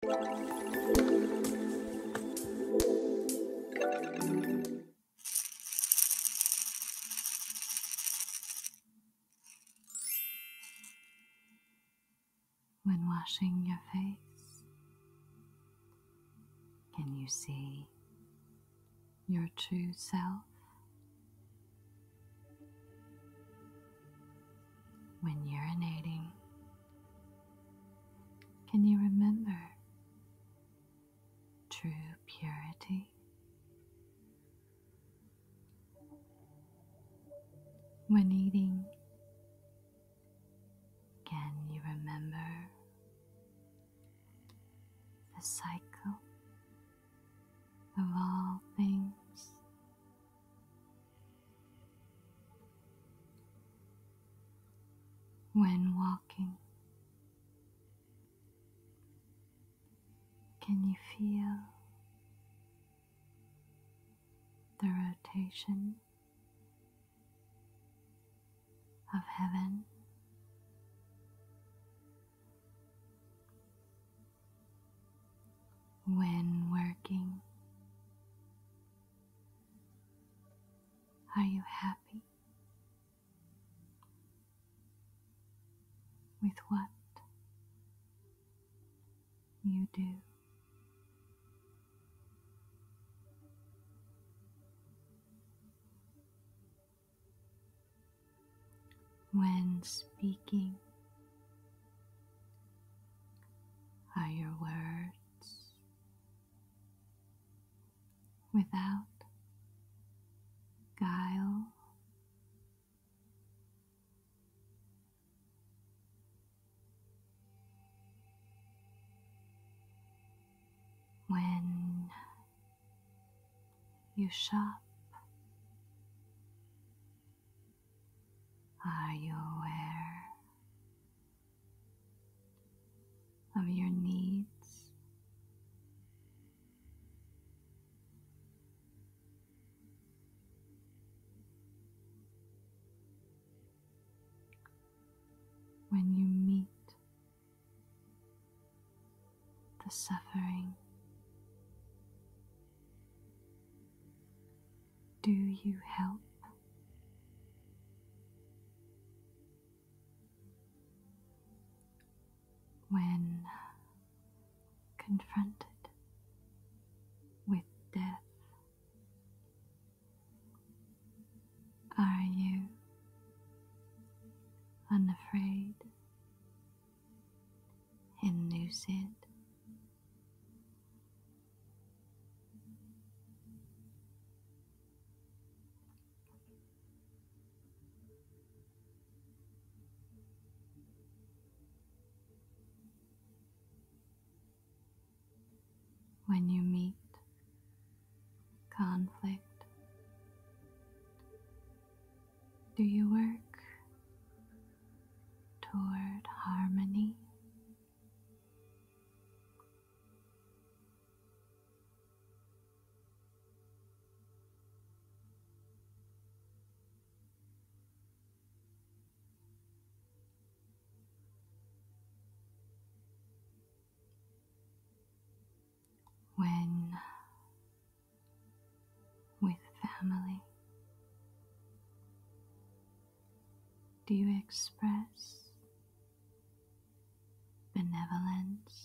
When washing your face, can you see your true self? when urinating? Can you remember true purity? When eating, can you remember the cycle of all things? when walking? Can you feel the rotation of heaven? When working, are you happy with what you do? When speaking are your words without guile. When you shop are you aware of your needs? When you meet the suffering do you help? When confronted with death, are you unafraid and noose it. When you meet conflict, do you work toward harmony. When with family? Do you express benevolence?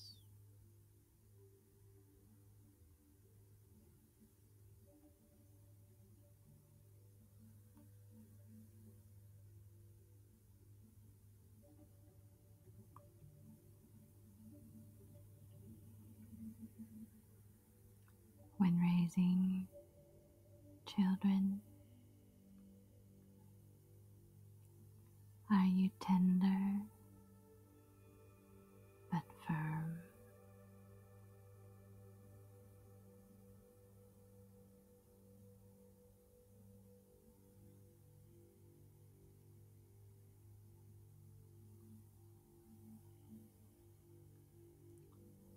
when raising children? Are you tender but firm?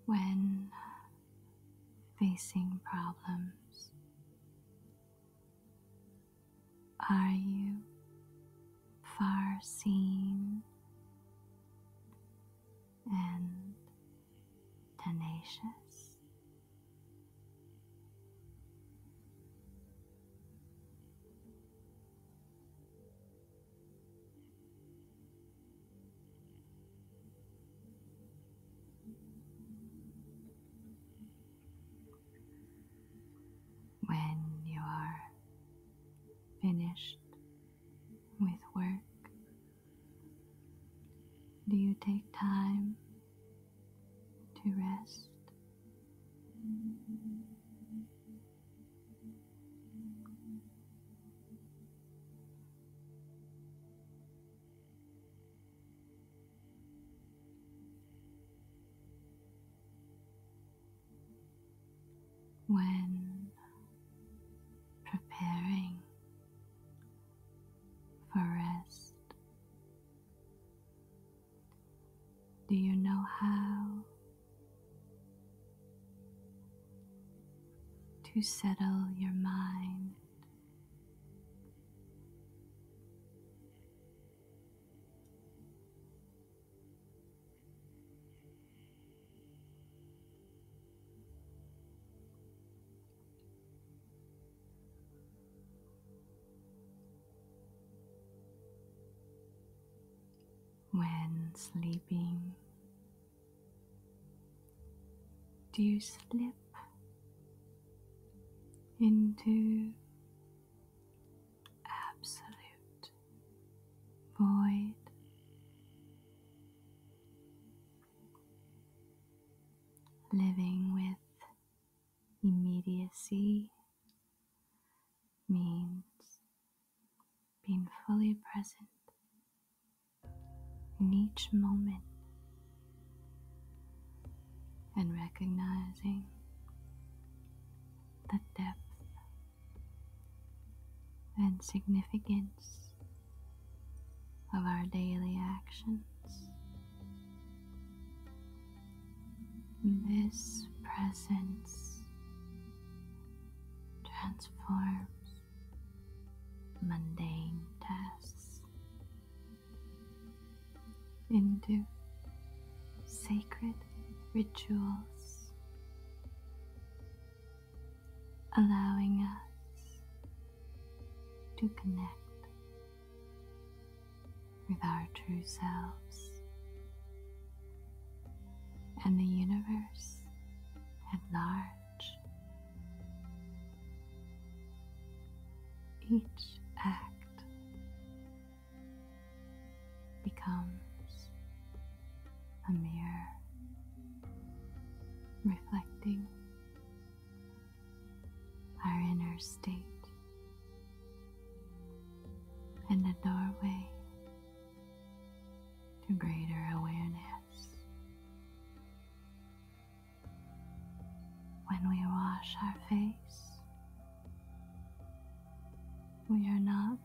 When facing problems, are you far seeing and tenacious? When you are finished with work, do you take time to rest? When preparing for rest, do you know how to settle your mind when sleeping? Do you slip into absolute void? Living with immediacy means being fully present in each moment and recognizing the depth and significance of our daily actions. This presence transforms mundane tasks into sacred rituals, allowing us to connect with our true selves and the universe at large. Each act becomes a mirror reflecting our inner state and the doorway to greater awareness. When we wash our face, we are not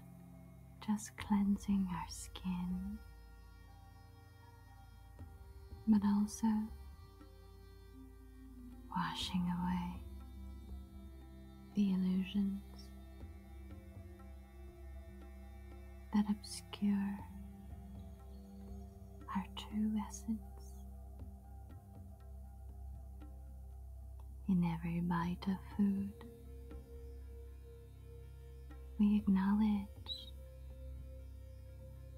just cleansing our skin, but also washing away the illusions that obscure our true essence. In every bite of food, we acknowledge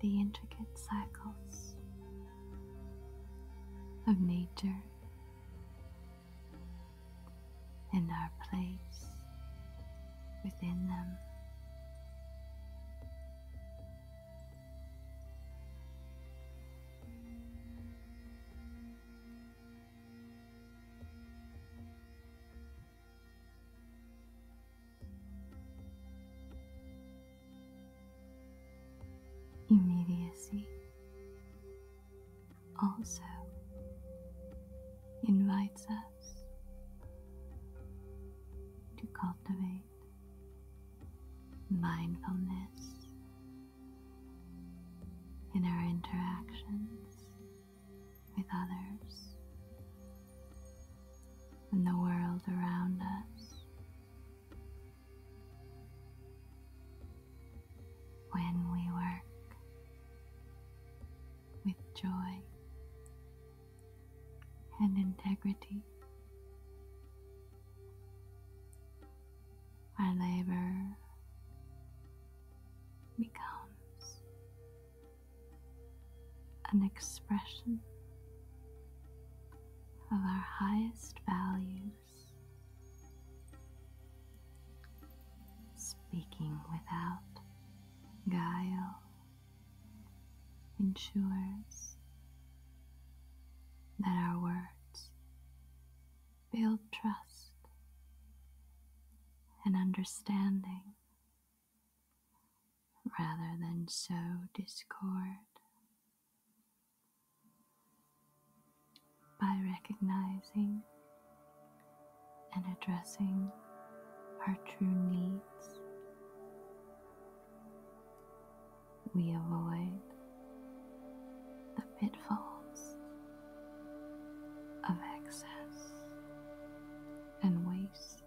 the intricate cycles of nature and our place within them. immediacy also invites us to cultivate mindfulness in our interactions with others and the world around us when we work with joy and integrity. Our labor becomes an expression of our highest values. Speaking without guile ensures that our words build trust and understanding rather than sow discord by recognizing and addressing our true needs. We avoid the pitfalls of excess and waste,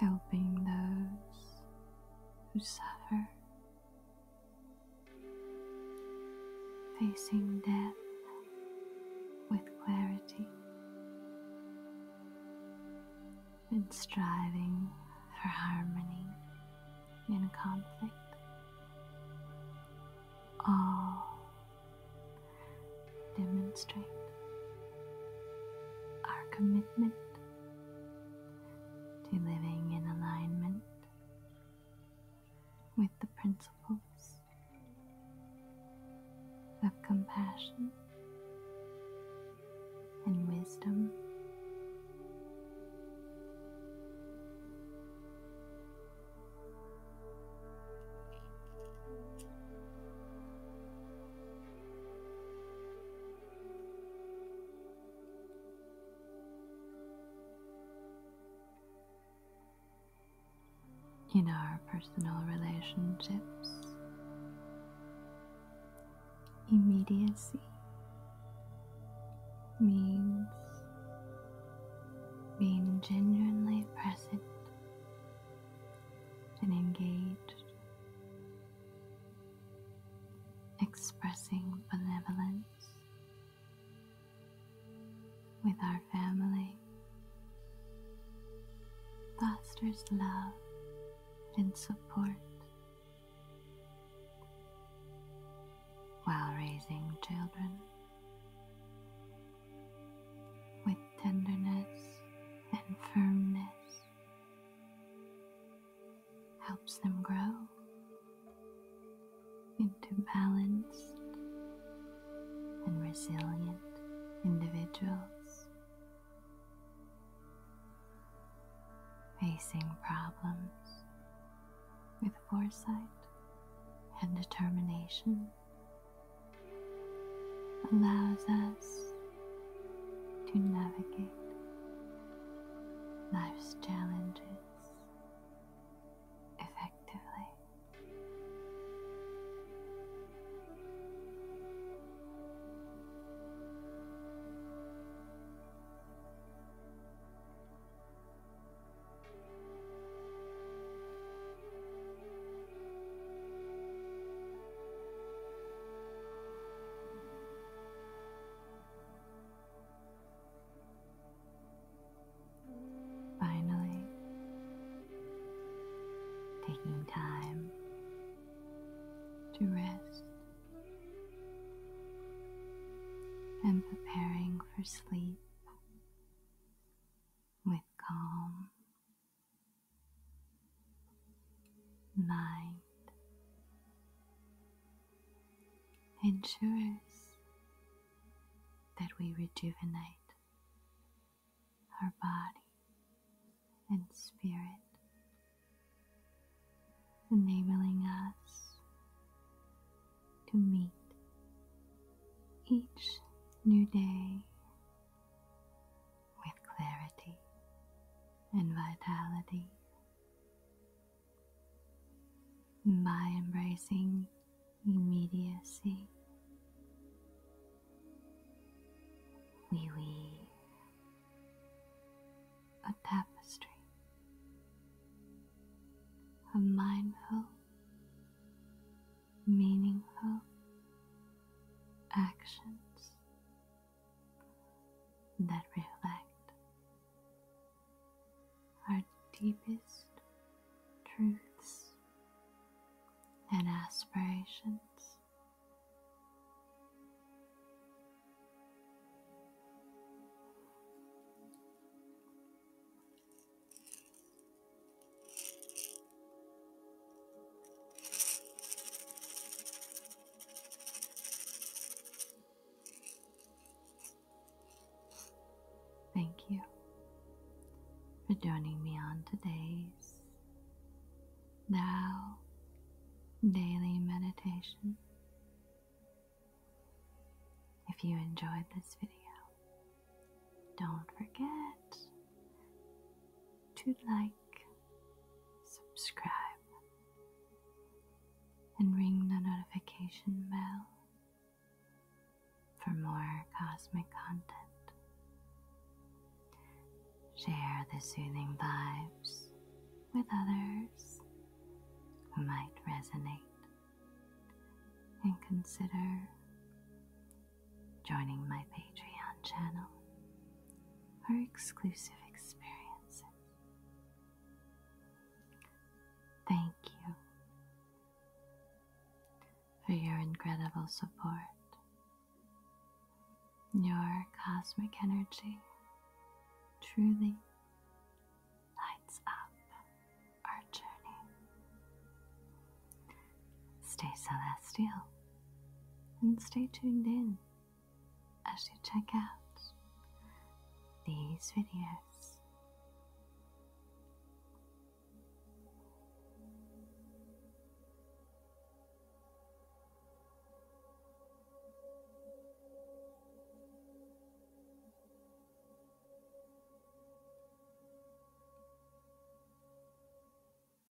helping those who suffer facing death with clarity, and striving for harmony in conflict. All demonstrate our commitment to living in alignment with the principles of compassion and wisdom in our personal relationships, immediacy means being genuinely present and engaged expressing benevolence with our family fosters love and support while raising children with tenderness and firmness helps them grow into balanced and resilient individuals facing problems with foresight and determination allows us to navigate life's challenges effectively. Finally, taking time to rest and preparing for sleep with calm mind ensures that we rejuvenate our body and spirit, enabling us to meet each new day with clarity and vitality. By embracing immediacy, we weave a tapestry of mindful, meaningful actions that reflect our deepest truths and aspirations. Thank you for joining me on today's now daily meditation. If you enjoyed this video, don't forget to like subscribe, and ring the notification bell for more cosmic content. Share the soothing vibes with others who might resonate and consider joining my Patreon channel for exclusive experiences. Thank you for your incredible support, your cosmic energy truly lights up our journey. Stay celestial and stay tuned in as you check out these videos.